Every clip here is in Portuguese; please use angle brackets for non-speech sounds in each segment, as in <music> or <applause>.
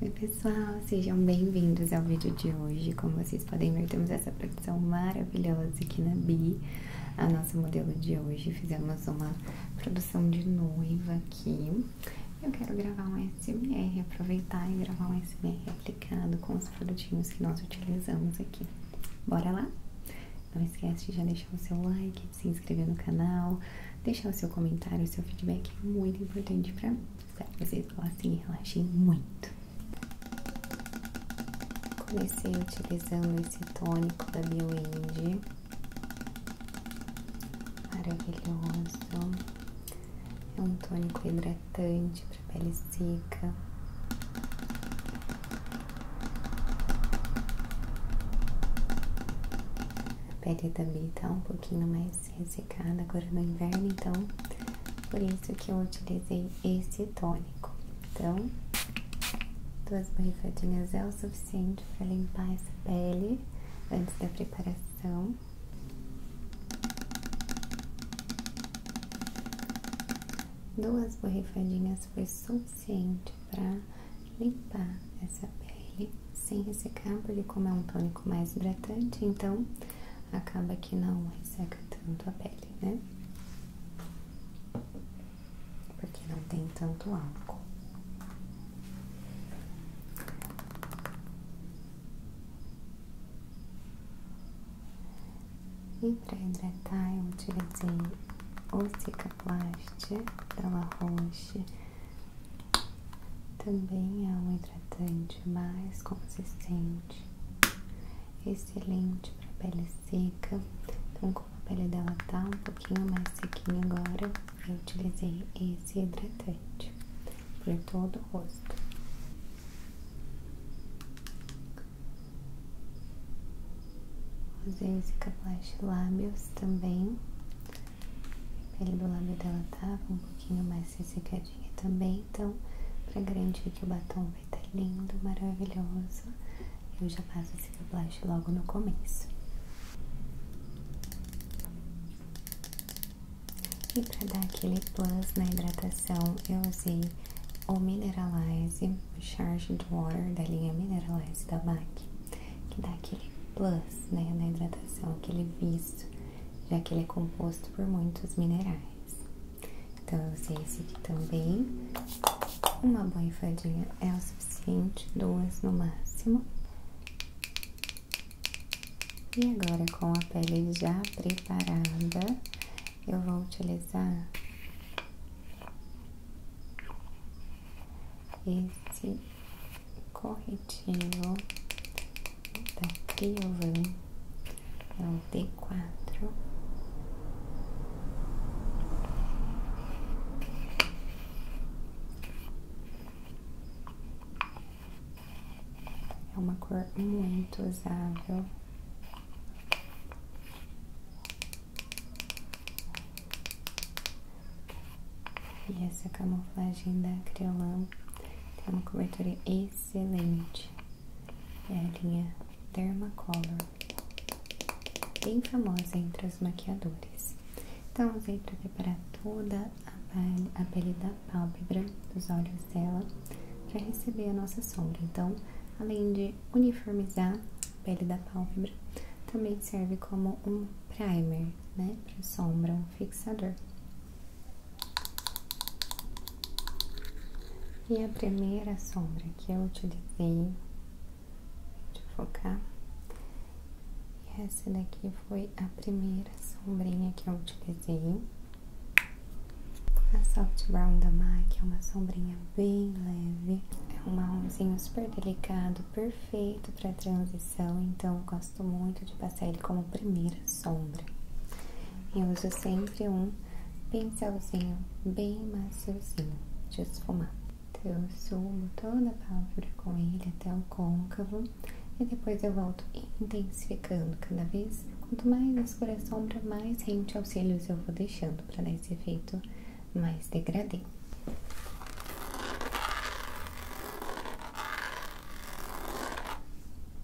Oi pessoal, sejam bem-vindos ao vídeo de hoje. Como vocês podem ver, temos essa produção maravilhosa aqui na Bi, a nossa modelo de hoje. Fizemos uma produção de noiva aqui. Eu quero gravar um SMR, aproveitar e gravar um SMR aplicado com os produtinhos que nós utilizamos aqui. Bora lá? Não esquece de já deixar o seu like, se inscrever no canal, deixar o seu comentário, o seu feedback é muito importante para mim. Espero que vocês gostem e relaxem muito. Comecei utilizando esse tônico da BioIndie. Maravilhoso. É um tônico hidratante para pele seca. A pele da também tá um pouquinho mais ressecada agora no inverno, então por isso que eu utilizei esse tônico. Então, duas borrifadinhas é o suficiente para limpar essa pele antes da preparação. Duas borrifadinhas foi suficiente para limpar essa pele sem ressecar, porque como é um tônico mais hidratante, então acaba que não resseca tanto a pele, né? Porque não tem tanto álcool. E para hidratar eu utilizei o Cicaplast da La Roche também é um hidratante mais consistente, excelente para pele seca. Então, como a pele dela tá um pouquinho mais sequinha agora, eu utilizei esse hidratante por todo o rosto. Usei esse caplast lábios também a pele do lábio dela tava tá um pouquinho mais ressecadinha também, então, para garantir que o batom vai estar tá lindo, maravilhoso, eu já faço esse blush logo no começo. E para dar aquele plus na hidratação, eu usei o Mineralize, o Charge Water da linha Mineralize da MAC, que dá aquele plus né, na hidratação, aquele visto já que ele é composto por muitos minerais. Então eu usei esse aqui também. Uma borrifadinha é o suficiente, duas no máximo. E agora com a pele já preparada, eu vou utilizar esse corretivo da Criovan é o d quatro. é uma cor muito usável e essa camuflagem da Creolan tem tá uma cobertura excelente. É a linha Dermacolor, bem famosa entre os maquiadores. Então, usei tudo para toda a pele, da pálpebra, dos olhos dela, para receber a nossa sombra. Então, além de uniformizar a pele da pálpebra, também serve como um primer, né? Para sombra, um fixador. E a primeira sombra que eu utilizei de focar, essa daqui foi a primeira sombrinha que eu utilizei. A Soft Brown da MAC é uma sombrinha bem leve, é um marronzinho super delicado, perfeito para transição, então eu gosto muito de passar ele como primeira sombra. Eu uso sempre um pincelzinho bem maciozinho de esfumar. Então, eu subo toda a pálpebra com ele até o côncavo e depois eu volto intensificando cada vez. Quanto mais escura a sombra, mais rente aos cílios eu vou deixando para dar esse efeito mais degradê.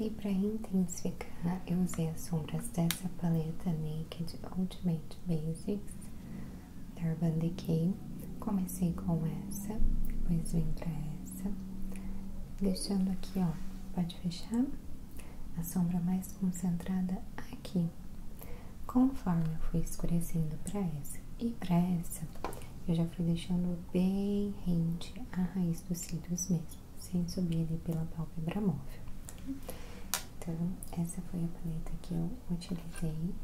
E para intensificar, eu usei as sombras dessa paleta Naked Ultimate Basics da Urban Decay. Comecei com essa, depois vim para essa, deixando aqui, ó, pode fechar, a sombra mais concentrada aqui. Conforme eu fui escurecendo para essa e para essa, eu já fui deixando bem rente à raiz dos cílios mesmo sem subir ali pela pálpebra móvel. Então, essa foi a paleta que eu utilizei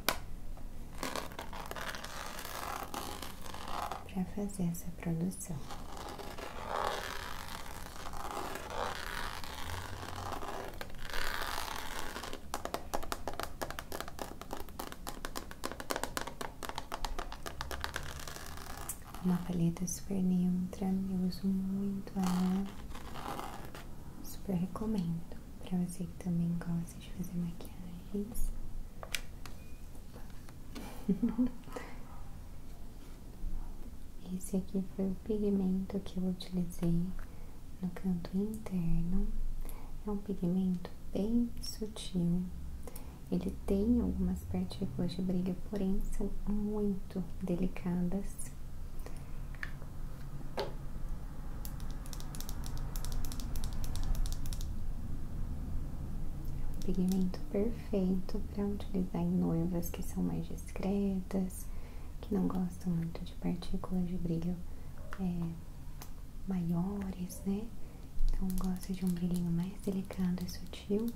para fazer essa produção uma paleta super neutra, eu uso muito ela, super recomendo para você que também gosta de fazer maquiagens. <laughs> Esse aqui foi o pigmento que eu utilizei no canto interno. É um pigmento bem sutil, ele tem algumas partículas de brilho, porém são muito delicadas. É um pigmento perfeito para utilizar em noivas que são mais discretas, que não gostam muito de partículas de brilho é, maiores, né? Então gosta de um brilhinho mais delicado e sutil.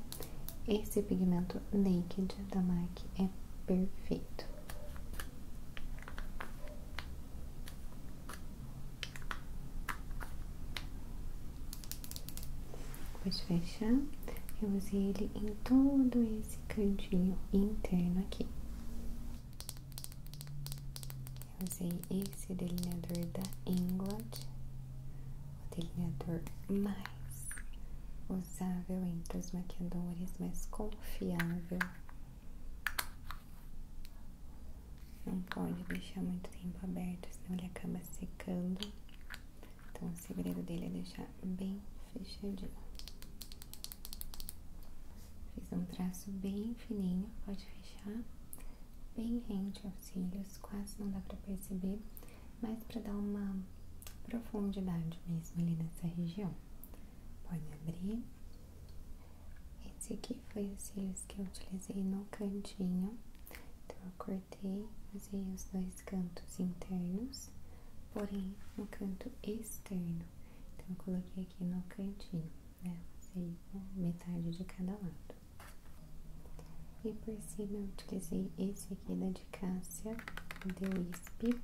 Esse pigmento Naked da MAC é perfeito. Depois de fechar, eu usei ele em todo esse cantinho interno aqui. Eu usei esse delineador da Inglot o delineador mais usável entre os maquiadores, mais confiável. Não pode deixar muito tempo aberto, senão ele acaba secando. Então, o segredo dele é deixar bem fechadinho. Fiz um traço bem fininho, pode fechar. Bem rente aos cílios, quase não dá para perceber mas para dar uma profundidade mesmo ali nessa região. Pode abrir. Esse aqui foi os cílios que eu utilizei no cantinho. Então eu cortei, usei os dois cantos internos, porém no canto externo. Então eu coloquei aqui no cantinho, né? Usei metade de cada lado. E por cima eu utilizei esse aqui da de Cássia, de Wisp,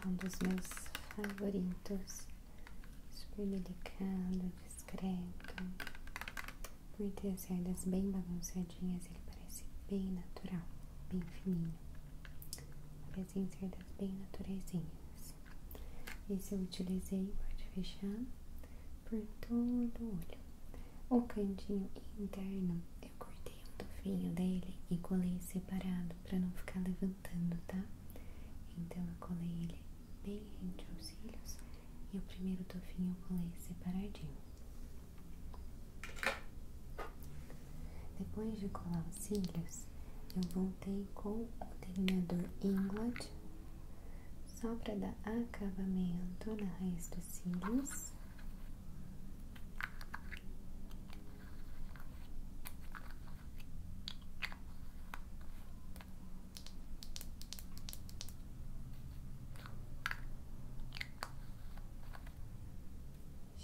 é um dos meus favoritos, super delicado, discreto, por ter as cerdas bem bagunçadinhas, ele parece bem natural, bem fininho, parecem cerdas bem naturaisinhas. Esse eu utilizei, pode fechar, por todo o olho. O cantinho interno eu cortei um tufinho dele e colei separado para não ficar levantando, tá? Então eu colei ele bem rente aos cílios e o primeiro tufinho eu colei separadinho. Depois de colar os cílios, eu voltei com o delineador Inglot só para dar acabamento na raiz dos cílios.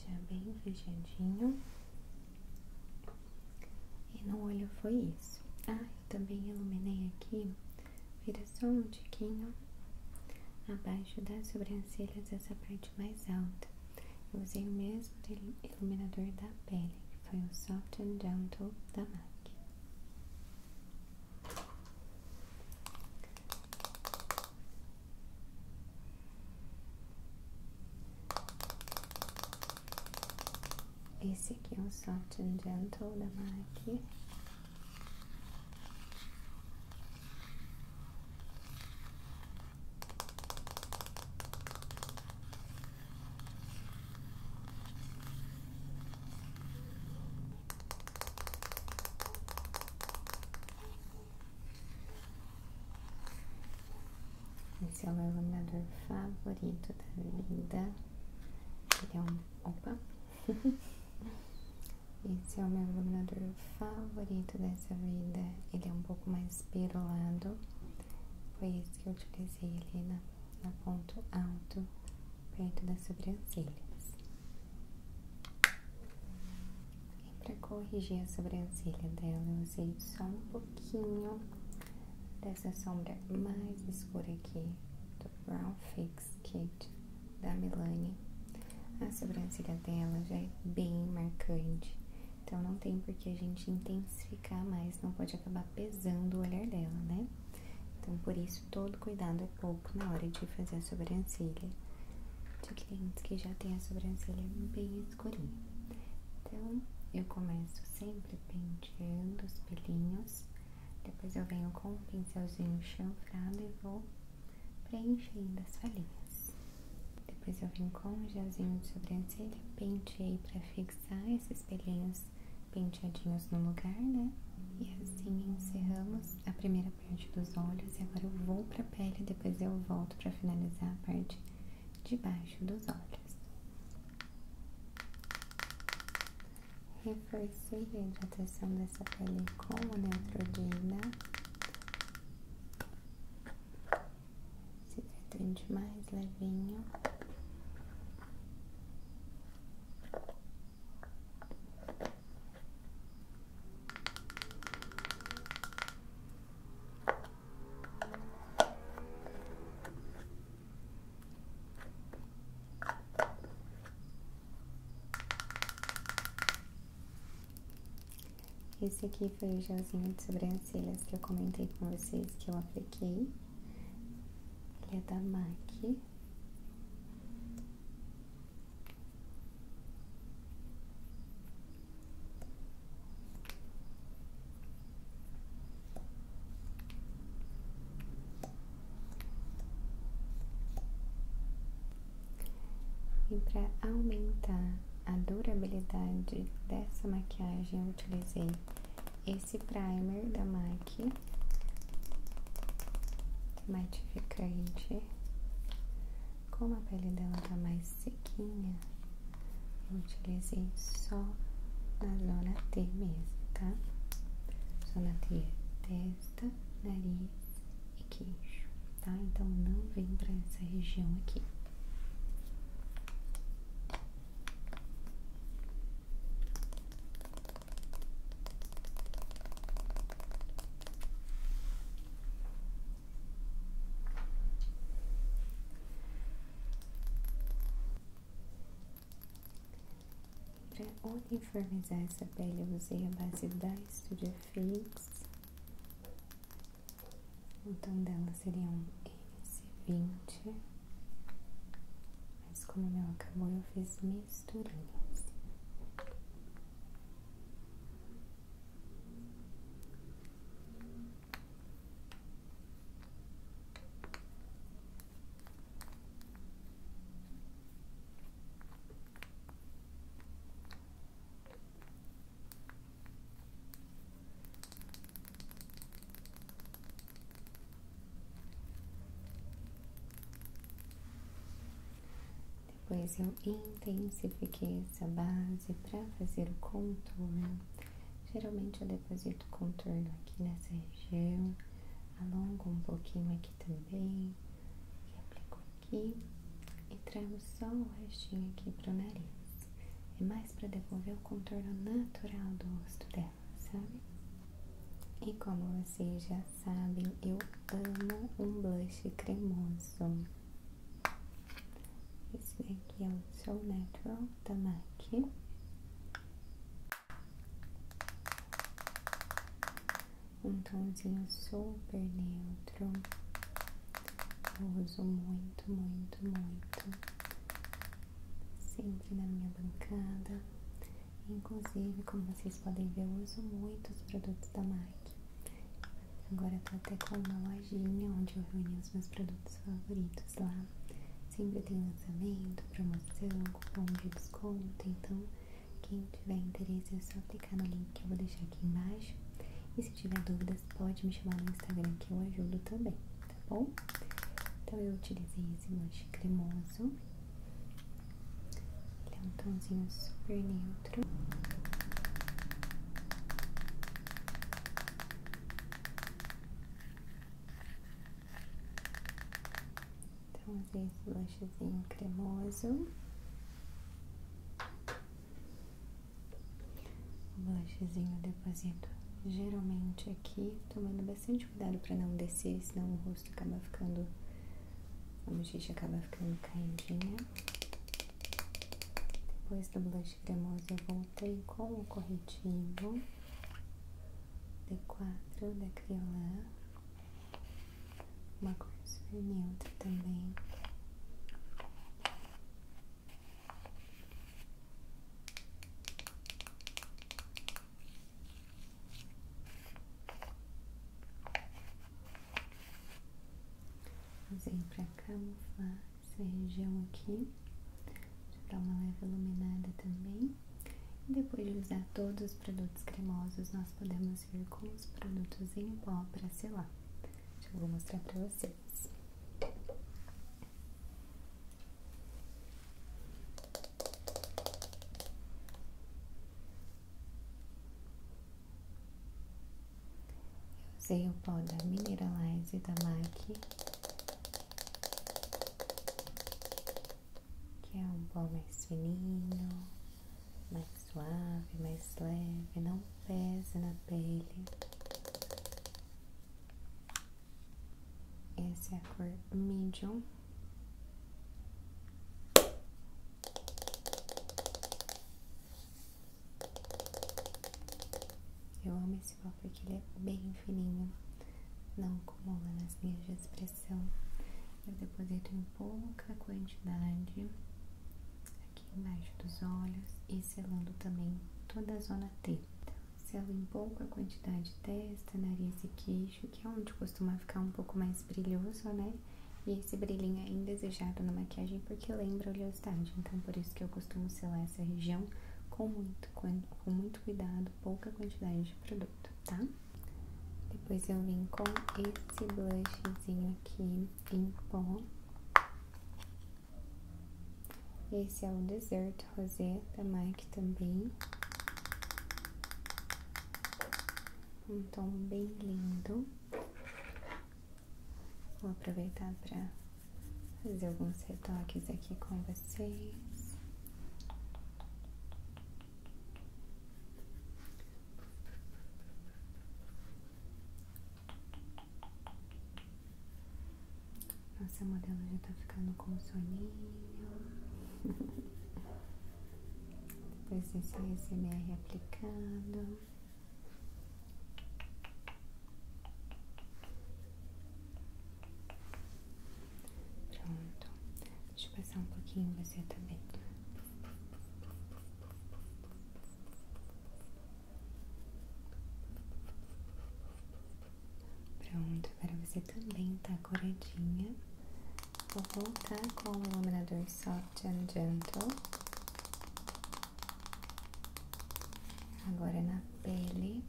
Já bem fechadinho. E no olho foi isso. Ah, eu também iluminei aqui Vira só um tiquinho abaixo das sobrancelhas, essa parte mais alta. Eu usei o mesmo iluminador da pele, que foi o Soft and Gentle da MAC. Esse aqui é o Soft and Gentle da MAC. Esse é o meu iluminador favorito da vida. Ele é um. Opa! <laughs> Esse é o meu iluminador favorito dessa vida. Ele é um pouco mais perolado. Foi esse que eu utilizei ele na, na ponto alto, perto das sobrancelhas. E para corrigir a sobrancelha dela, eu usei só um pouquinho dessa sombra mais escura aqui do Brown Fake Fix da Milani. A sobrancelha dela já é bem marcante, então não tem por que a gente intensificar mais, não pode acabar pesando o olhar dela, né? Então, por isso, todo cuidado é pouco na hora de fazer a sobrancelha de clientes que já tem a sobrancelha bem escurinha. Então, eu começo sempre penteando os pelinhos, depois eu venho com um pincelzinho chanfrado e vou preenchendo as falhinhas. Depois eu vim com um gelzinho de sobrancelha, penteei para fixar esses pelinhos penteadinhos no lugar, né? E assim encerramos a primeira parte dos olhos e agora eu vou para a pele, depois eu volto para finalizar a parte de baixo dos olhos. Reforcei a hidratação das nossa pele como neutrodina, né? esse hidratante mais levinho. Esse aqui foi o gelzinho de sobrancelhas que eu comentei com vocês que eu apliquei. Ele é da MAC. E para aumentar a durabilidade dessa maquiagem, eu utilizei esse primer da MAC é matificante. Como a pele dela tá mais sequinha, eu utilizei só na zona T mesmo, tá? Zona T é testa, nariz queijo, tá? Então não vem para essa região aqui. Para uniformizar essa pele, eu usei a base da Studio Fade X. Então dela seria um s vinte Mas como o meu acabou, eu fiz misturinhas. Depois eu intensifiquei essa base para fazer o contorno. Geralmente eu deposito contorno aqui nessa região, alongo um pouquinho aqui também aplico aqui e trago só o restinho aqui pro nariz. É mais para devolver o contorno natural do rosto dela, sabe? E como vocês já sabem, eu amo um blush cremoso. Esse daqui é o So Natural da MAC um tomzinho super neutro. uso muito, muito, muito. Sempre na minha bancada. Inclusive, como vocês podem ver, uso muito os produtos da MAC. Agora tô até com uma lojinha onde eu reuni os meus produtos favoritos lá. Sempre tem lançamento, promoção, cupom de desconto, então quem tiver interesse é só clicar no link que eu vou deixar aqui embaixo. E se tiver dúvidas, pode me chamar no Instagram que eu ajudo também, tá bom? Então eu utilizei esse blush cremoso. Ele é um tomzinho super neutro. Então usei esse lanchezinho cremoso. O blushzinho deposito geralmente aqui, tomando bastante cuidado para não descer, senão o rosto acaba ficando, a bochecha acaba ficando caidinha. Depois do blush cremoso eu voltei com o corretivo D4 da Criolan uma cor neutra também. Usei para camuflar essa região aqui, dar uma leve iluminada também. E depois de usar todos os produtos cremosos, nós podemos vamos com os produtos em pó para selar. vou mostrar para vocês. usei o pó da Mineralize da MAC, que é um pó mais fininho mais suave, mais leve, não pese na pele. Essa é a cor medium. Eu amo esse pó porque ele é bem fininho, não acumula nas linhas de expressão. Eu deposito em pouca quantidade aqui embaixo dos olhos e selando também toda a zona T. Então, selo em pouca quantidade testa, nariz e queixo, que é onde costuma ficar um pouco mais brilhoso, né? E esse brilhinho é indesejado na maquiagem porque lembra oleosidade, então por isso que eu costumo selar essa região com muito, com, com muito cuidado, pouca quantidade de produto, tá? Depois eu vim com esse blushzinho aqui, em pó. Esse é o Deserto Rosé da MAC também. Um tom bem lindo. Vou aproveitar para fazer alguns retoques aqui com vocês. Nossa modelo já tá ficando com soninho. <laughs> Depois desse ASMR aplicado. Pronto. Deixa eu passar um pouquinho você também. Pronto, para você também tá coradinha. Vou voltar com o iluminador Soft and Gentle. Agora na pele.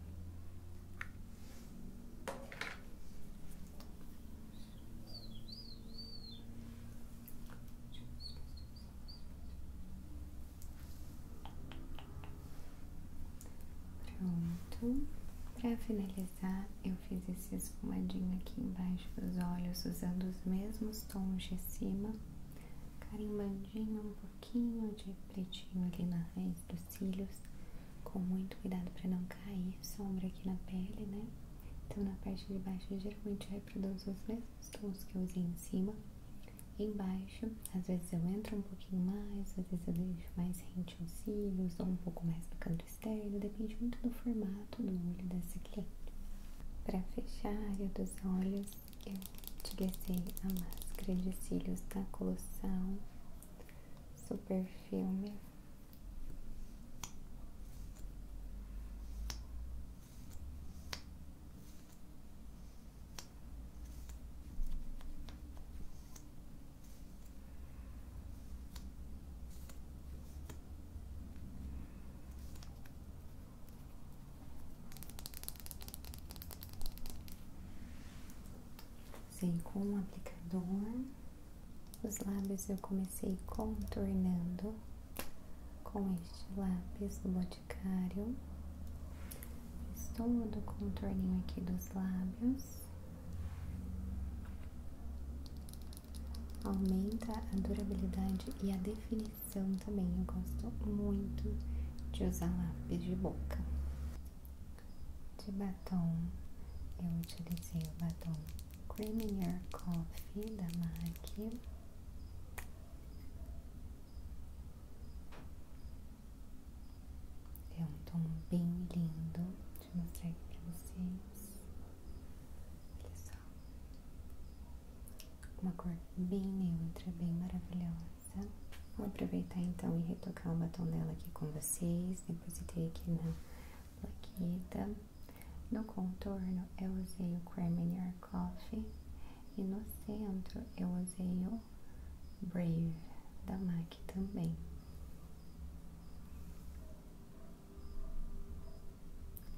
Pronto. Para finalizar, eu fiz esse espumadinho aqui embaixo dos olhos, usando os mesmos tons de cima, carimbandinho um pouquinho de pretinho ali na raiz dos cílios, com muito cuidado para não cair sombra aqui na pele, né? Então, na parte de baixo, geralmente é geralmente usar os mesmos os tons que eu usei em cima. Embaixo, às vezes eu entro um pouquinho mais, às vezes eu deixo mais rente os cílios, ou um pouco mais no canto externo, depende muito do formato do olho dessa cliente. Para fechar a dos olhos, eu utilizei a máscara de cílios da Colossal Super Filme sei com um aplicador, os lábios eu comecei contornando com este lápis do Boticário. Fiz todo contorninho aqui dos lábios. Aumenta a durabilidade e a definição também. Eu gosto muito de usar lápis de boca. De batom, eu utilizei o batom Creamier Coffee da MAC. É um tom bem lindo. Deixa eu mostrar aqui pra vocês. Olha só. Uma cor bem neutra, bem maravilhosa. Vou aproveitar então e retocar o batom dela aqui com vocês. Depositei aqui na plaqueta. No contorno eu usei o Creamier Coffee e no centro eu usei o Brave da MAC também.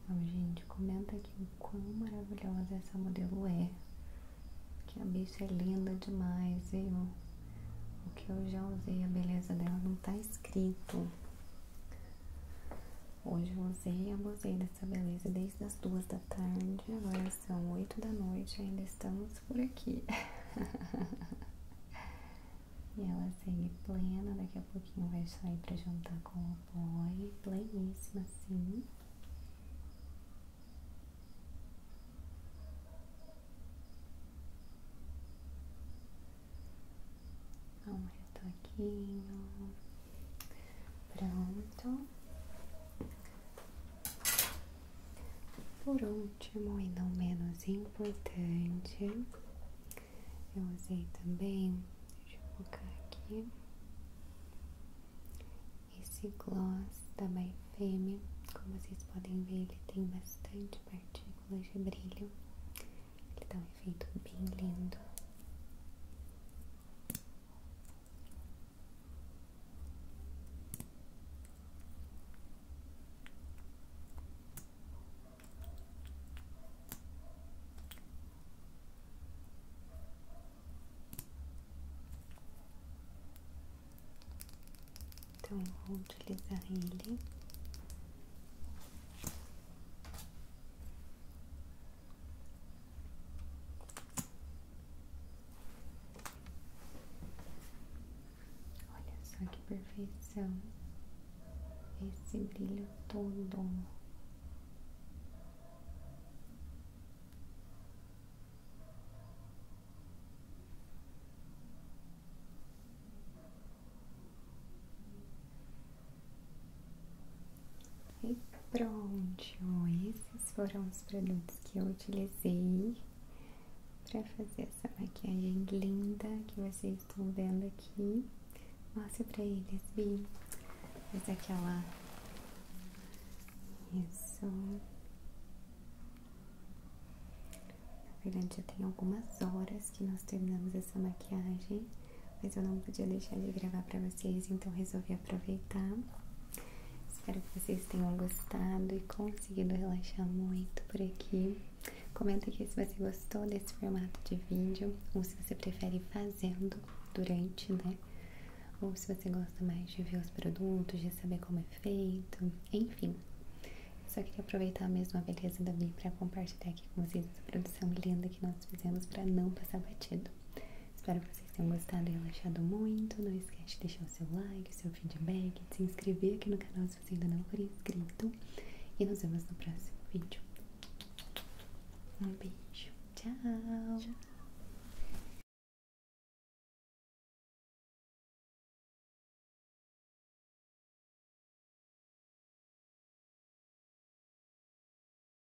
Então, gente, comenta aqui o quão maravilhosa essa modelo é. Que a bicha é linda demais, viu? O que eu já usei, a beleza dela não tá escrito. Hoje eu usei e abusei dessa beleza desde as duas da tarde, agora são oito da noite ainda estamos por aqui. <laughs> e ela segue plena, daqui a pouquinho vai sair pra jantar com o boy, pleníssima assim. Dá retoquinho. Pronto. Por último, e não menos importante, eu usei também, deixa eu colocar aqui, esse gloss da My Como vocês podem ver, ele tem bastante partículas de brilho. Ele dá um efeito bem lindo. Então eu vou utilizar ele Olha só que perfeição esse brilho todo. E pronto, esses foram os produtos que eu utilizei para fazer essa maquiagem linda que vocês estão vendo aqui. Mostra para eles, vi, Essa é aquela. Isso. Na verdade, já tem algumas horas que nós terminamos essa maquiagem mas eu não podia deixar de gravar para vocês, então resolvi aproveitar. Espero que vocês tenham gostado e conseguido relaxar muito por aqui. Comenta aqui se você gostou desse formato de vídeo ou se você prefere fazendo durante, né? Ou se você gosta mais de ver os produtos, de saber como é feito, enfim. Eu só queria aproveitar mesmo a beleza da Mi para compartilhar aqui com vocês essa produção linda que nós fizemos para não passar batido. Espero que vocês tenham gostado e relaxado muito. Não esquece de deixar o seu like, o seu feedback, de se inscrever aqui no canal se você ainda não for inscrito. E nos vemos no próximo vídeo. Um beijo. Tchau. Tchau.